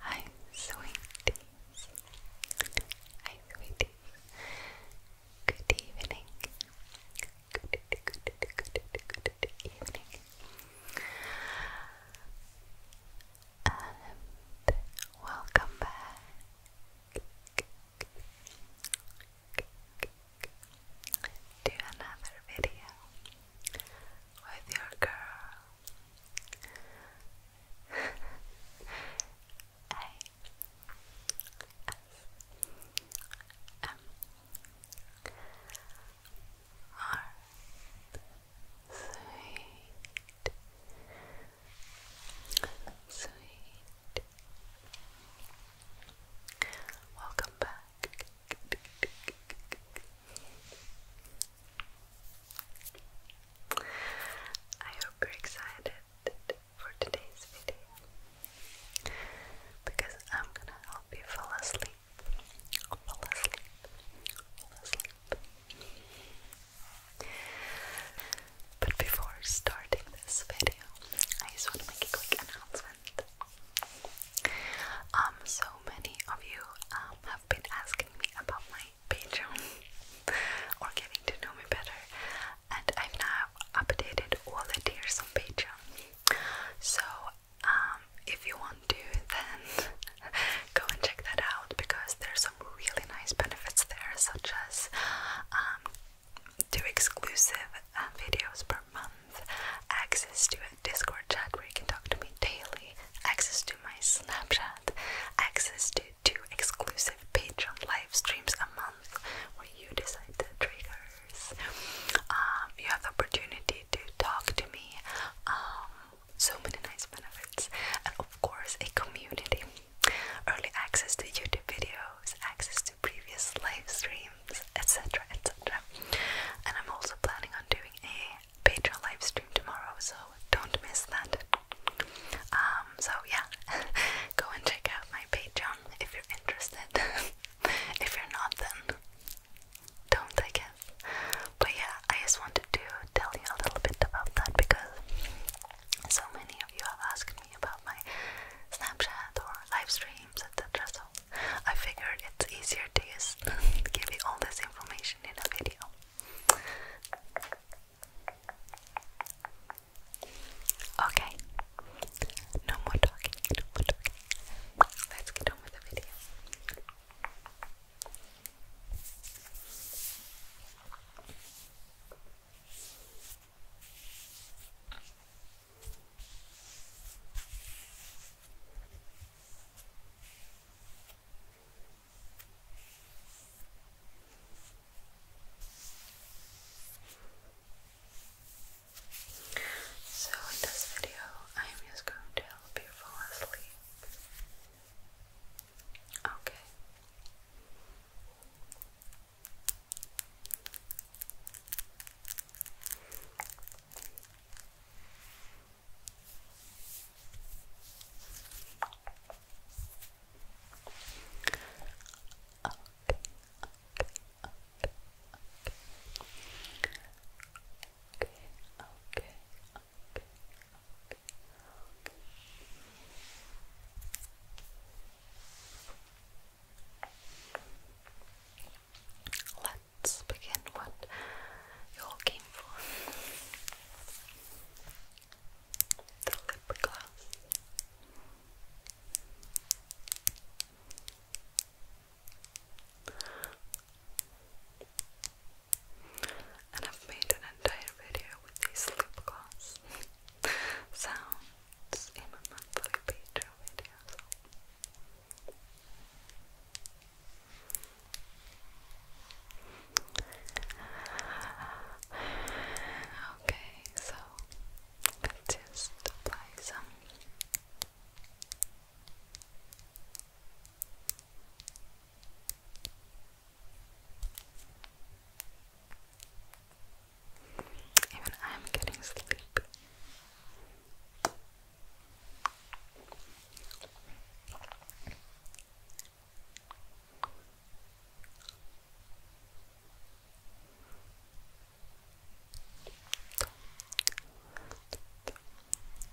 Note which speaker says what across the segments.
Speaker 1: Hi, sweeties. Hi, sweeties. Good evening. Good, good, good, good, good evening and welcome back to another video with your girl Sweet, sweet. Welcome back. I hope you're excited for today's video because I'm gonna help you fall asleep. But before starting this video, I just want to make a quick announcement. Um, so many of you um, have been asking me about my Patreon or getting to know me better, and I've now updated all the tiers on Patreon. So um, if you want to, then go and check that out because there's some really nice benefits there, such as um, two exclusive uh, videos per month, access to a Discord chat where you can talk to me daily, access to my Snapchat, access to two exclusive Patreon live streams a month where you decide the triggers. Um, you have the opportunity to talk to me um, so many nice benefits, and of course, a community. Early access to YouTube videos, access to previous live streams, etc. etc. And I'm also planning on doing a Patreon live stream tomorrow, so don't miss that. Um, so yeah, go and check out my Patreon if you're interested. if you're not, then don't I guess. But yeah, I just wanted to tell you a little bit about that because so many of you have asked me about my Snapchat or live streams, etc. So I figured it's easier to just give you all this information in a video. Okay, no more talking, Let's get on with the video. So in this video, I am just going to I help you fall asleep. okay okay, okay, okay, okay. Let's begin what you all came for. The lip gloss. And I've made an entire video with these lip gloss sounds in my monthly Patreon video. Okay, so let's just apply some even I'm getting sleepy. Glitter, glitter,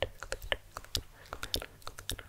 Speaker 1: glitter, glitter, glitter, glitter.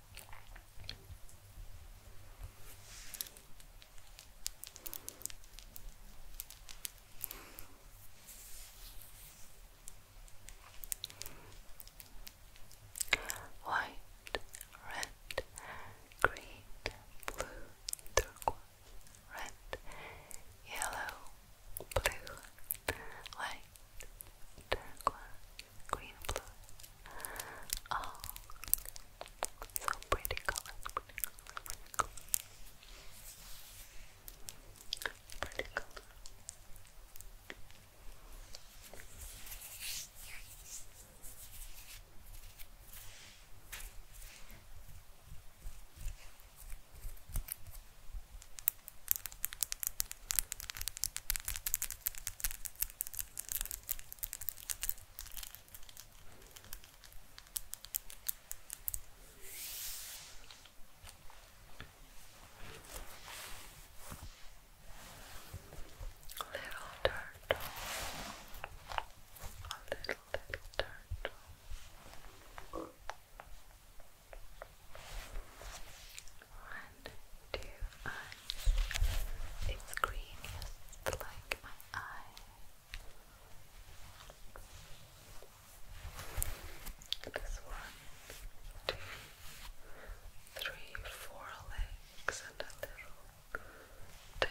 Speaker 1: White, red, green, blue, turquoise, red, yellow, blue, white, turquoise, green blue. Oh, so pretty color, pretty color, pretty color. Little turtle, a little little turtle and two eyes. It's green, just like my eye. This one, two, three, four legs and a little tail.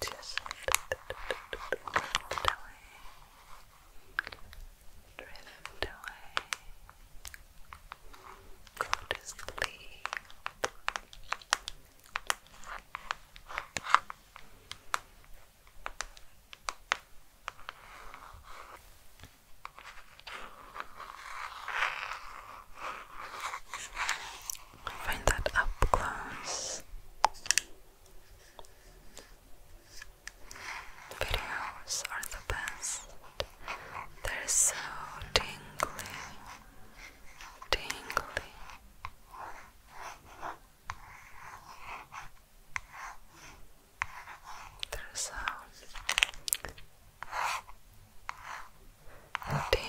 Speaker 1: just drift away, drift away. Go to sleep. Find that up close videos are the best. They're so tingly, tingly. They're so tingly.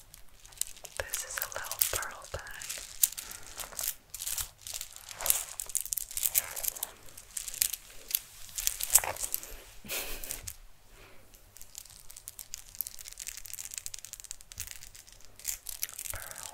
Speaker 1: This is a little pearl bag. pearl. Pearl.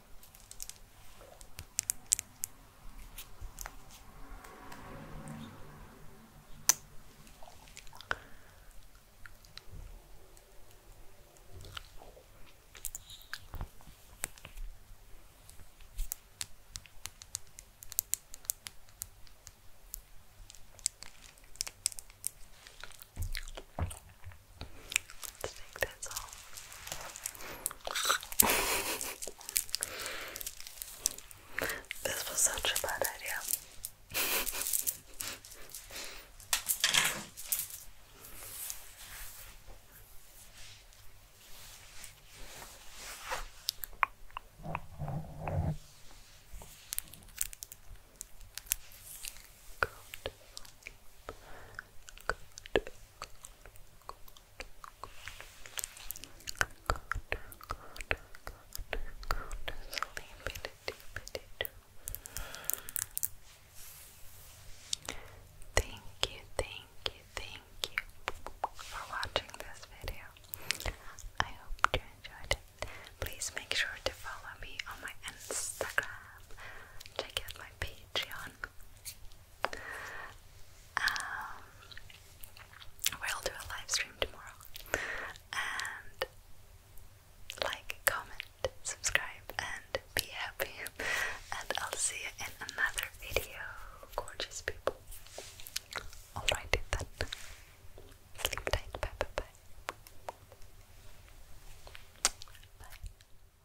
Speaker 1: Let's take this this was such a bad idea. Good. Good. Thank you, thank you, thank you for watching this video. I hope you enjoyed it. Please make sure to follow me on my Instagram. Check out my Patreon. Um, we'll do a live stream tomorrow. And like, comment, subscribe, and be happy. And I'll see you in another video, gorgeous people. Alright, then. Sleep tight. Bye bye bye. Bye.